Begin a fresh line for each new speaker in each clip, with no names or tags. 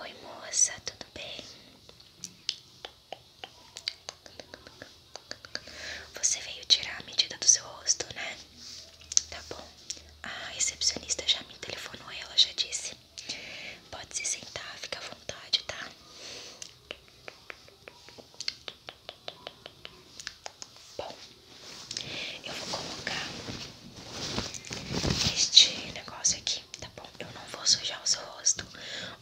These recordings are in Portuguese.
Oi, moça, tudo bem? Você veio tirar a medida do seu rosto, né? Tá bom. A recepcionista já me telefonou ela já disse. Pode se sentar, fica à vontade, tá? Bom, eu vou colocar este negócio aqui, tá bom? Eu não vou sujar o seu rosto.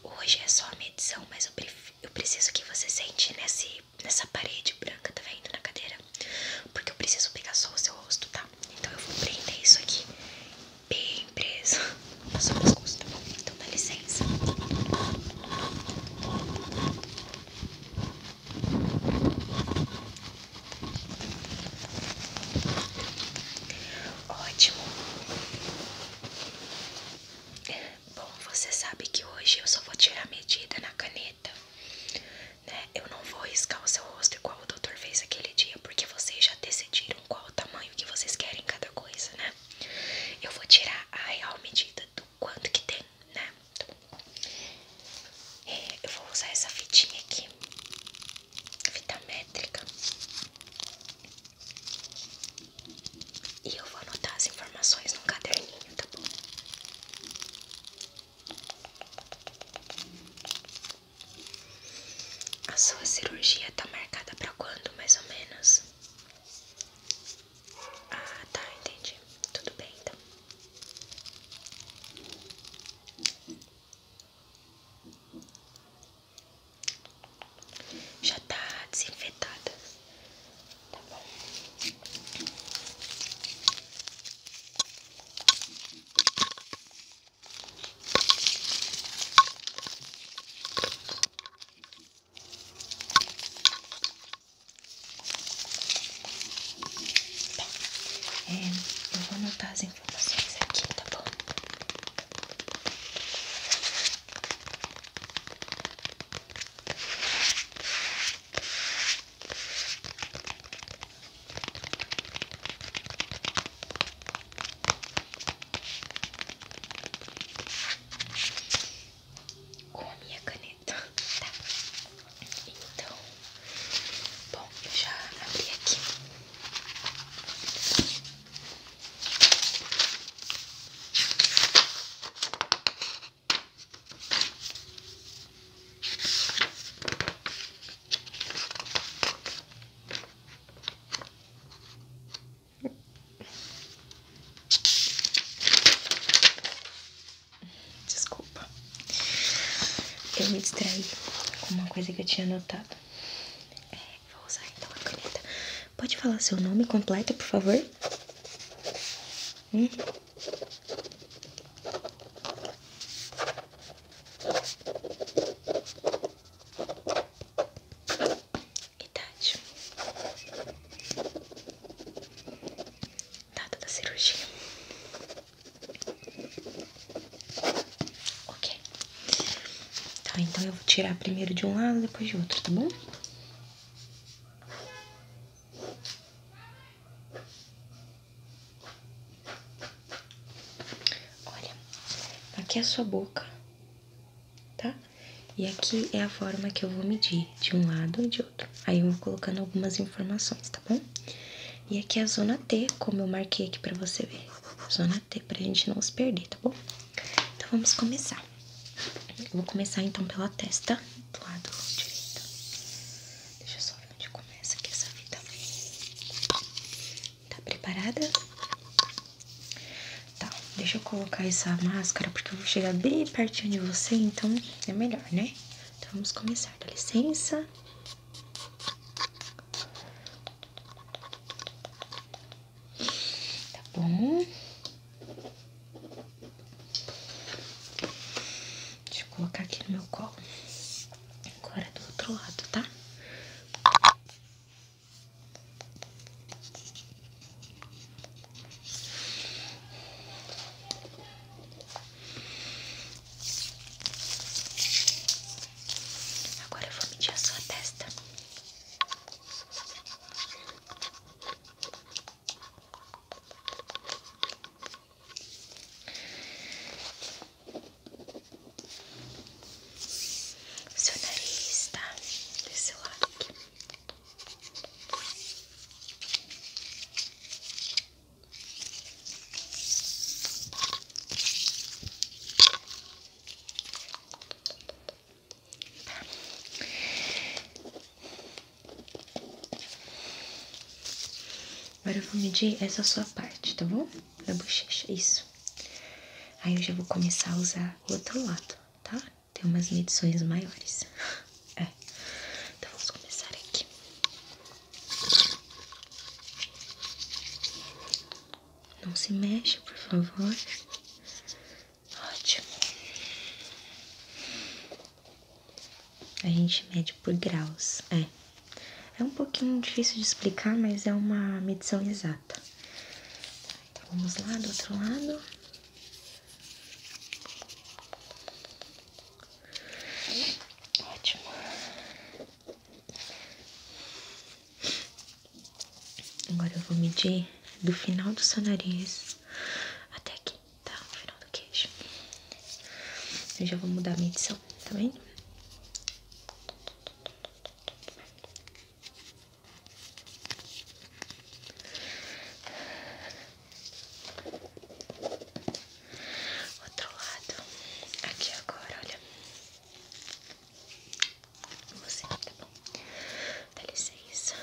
Hoje é só a medição, mas eu, preciso que você sente nesse, nessa parede branca, tá vendo? Na cadeira. Porque eu preciso pegar só o seu rosto, tá? Então eu vou prender isso aqui bem preso no seu pescoço, tá bom? Então dá licença. Ótimo. Bom, você sabe que hoje eu só vou tirar medida na caneta, né? Eu não vou riscar o seu rosto igual o doutor fez aquele dia, porque vocês já decidiram qual o tamanho que vocês querem cada coisa, né? Eu vou tirar a real medida do quanto que tem, né? É, eu vou usar essa fitinha aqui, fita métrica, e eu vou anotar as informações num caderninho, tá bom? A sua cirurgia tá marcada pra quando, mais ou menos? Ah, tá, entendi. Tudo bem então. Já tá desinfetada. Tá bom. Tá. É, eu vou anotar as informações aqui, tá bom? com a minha caneta, tá? Então, bom, eu já abri aqui.
Desculpa. Eu me distraí com uma coisa que eu tinha anotado. É, vou usar então a caneta. Pode falar seu nome completo, por favor? Hum?
idade, data da cirurgia,
ok? Tá, então eu vou tirar primeiro de um lado, depois de outro, tá bom? Olha, aqui é a sua boca tá? E aqui é a forma que eu vou medir de um lado e de outro. Aí eu vou colocando algumas informações, tá bom? E aqui é a zona T, como eu marquei aqui pra você ver. Zona T, pra gente não se perder, tá bom? Então vamos começar. vou começar então pela testa do lado direito. Deixa eu só ver onde começa aqui essa fita. Tá preparada? Tá, deixa eu colocar essa máscara porque eu vou chegar bem pertinho de você, então é melhor, né? Então vamos começar, dá licença.
Tá bom.
Deixa eu colocar aqui no meu colo. Agora do outro lado, tá?
Agora vou medir a sua testa. Seu nariz tá desse lado Tá.
Agora eu vou medir essa sua parte, tá bom? na bochecha, isso. Aí eu já vou começar a usar o outro lado, tá? Tem umas medições maiores. É. Então vamos começar aqui. Não se mexa, por favor. Ótimo. A gente mede por graus, é. É um pouquinho difícil de explicar, mas é uma medição exata.
Então, vamos lá do outro lado. Ótimo.
Agora eu vou medir do final do seu nariz até aqui, tá? No final do queixo. Eu já vou mudar a medição, tá vendo?
Outro lado, aqui agora, olha. Você, tá bom? Dá licença.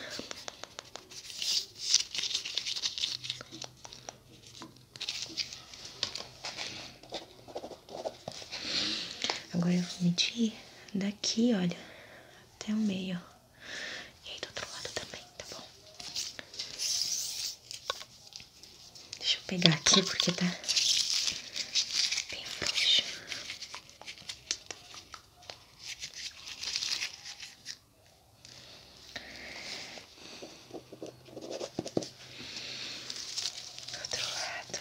Agora eu vou medir daqui, olha, até o meio. E aí do outro lado também, tá bom? Deixa eu pegar aqui porque tá bem frouxo. Do outro lado.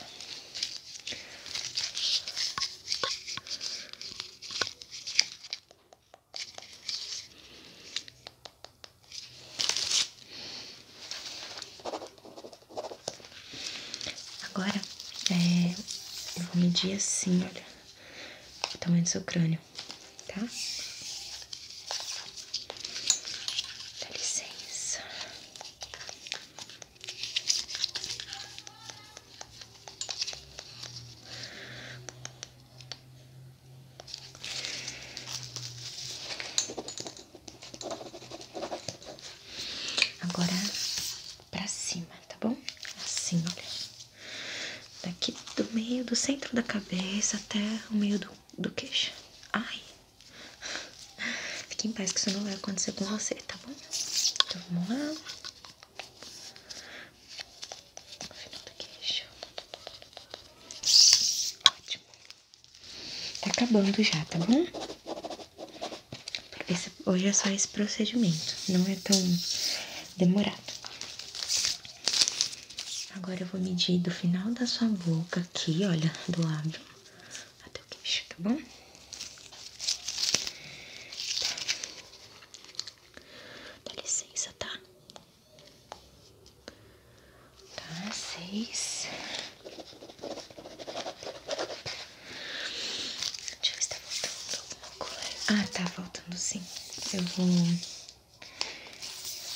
Agora, é, vou medir assim, olha, o tamanho do seu
crânio tá? licença.
Agora pra cima, tá bom? Assim, olha daqui do meio do centro da cabeça até o meio do, do queixo. Ai, fique em paz que isso não vai acontecer com você, tá bom? Então vamos lá. No final do queixo. Ótimo. Tá acabando já, tá bom? hoje é só esse procedimento, não é tão demorado. Agora eu vou medir do final da sua boca aqui, olha, do lábio até o queixo, tá bom?
Tá. Dá licença, tá? Tá, seis.
Deixa eu ver se tá faltando alguma coisa. Ah, tá faltando sim. Eu vou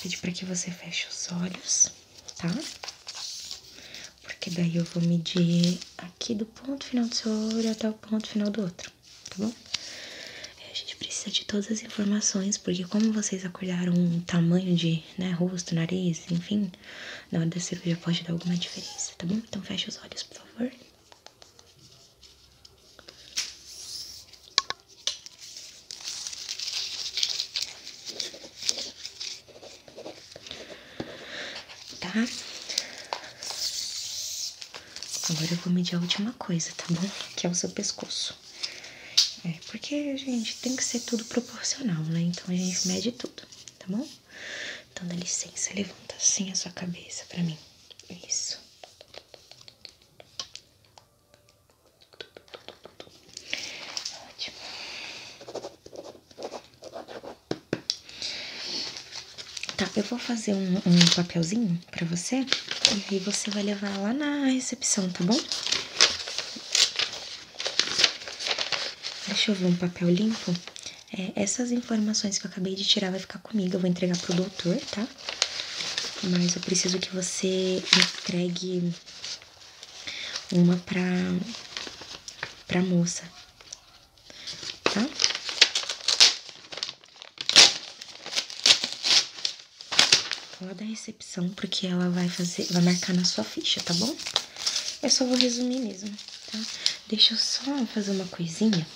Pedi para que você feche os olhos, tá? Porque daí eu vou medir aqui do ponto final do seu olho até o ponto final do outro, tá bom? É, a gente precisa de todas as informações, porque como vocês acordaram um tamanho de, né, rosto, nariz, enfim, na hora da cirurgia pode dar alguma diferença, tá bom? Então
feche os olhos, por favor. Tá?
Agora eu vou medir a última coisa, tá bom? Que é o seu pescoço. É, porque, gente, tem que ser tudo proporcional, né? Então a gente mede tudo, tá bom?
Então dá licença, levanta assim a sua cabeça pra mim. Isso.
Ótimo. Tá, eu vou fazer um, um papelzinho pra você e aí você vai levar lá na recepção, tá bom? Deixa eu ver um papel limpo. É, essas informações que eu acabei de tirar vai ficar comigo, eu vou entregar pro doutor, tá? Mas eu preciso que você entregue uma pra, pra moça, tá? Lá da recepção, porque ela vai fazer, vai marcar na sua ficha, tá bom? Eu só vou resumir mesmo, tá? Deixa eu só fazer uma coisinha.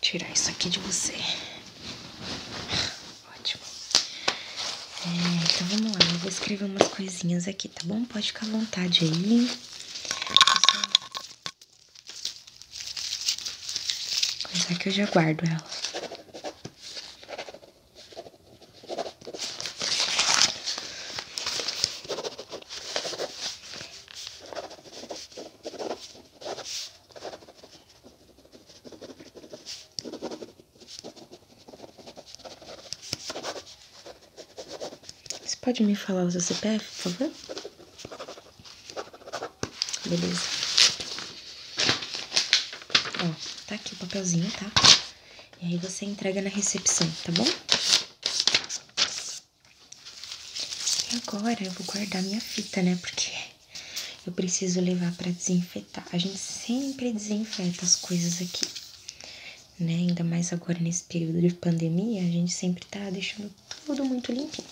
Tirar isso aqui de você. Ótimo. É, então vamos lá, eu vou escrever umas coisinhas aqui, tá bom? Pode ficar à vontade aí. Coisa que eu já guardo ela. Você pode me falar o seu CPF, por favor? Beleza. Ó, tá aqui o papelzinho, tá? E aí você entrega na recepção, tá bom? E agora eu vou guardar minha fita, né? Porque eu preciso levar para desinfetar. A gente sempre desinfeta as coisas aqui, né? Ainda mais agora nesse período de pandemia, a gente sempre tá deixando tudo muito limpinho.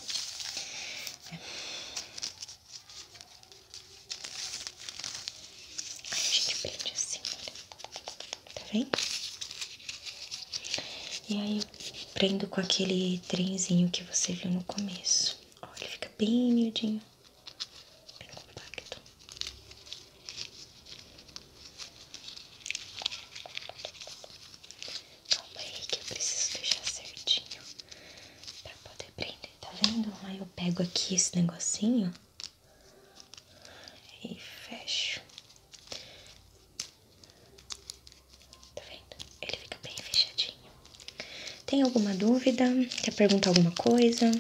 Aí a gente prende assim, olha tá vendo? E aí prendo com aquele trenzinho que você viu no começo. Olha, ele fica bem miudinho, bem compacto. Calma aí que eu preciso deixar certinho pra poder prender, tá vendo? Aí eu pego aqui esse negocinho e fecho. Tá vendo? Ele fica bem fechadinho. Tem alguma dúvida? Quer perguntar alguma coisa?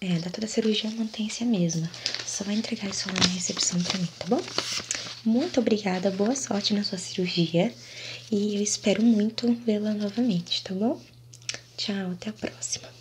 É, a data da cirurgia mantém-se a mesma. Só vai entregar isso lá na recepção pra mim, tá bom? Muito obrigada, boa sorte na sua cirurgia.
E eu espero muito vê-la novamente, tá bom? Tchau, até a próxima.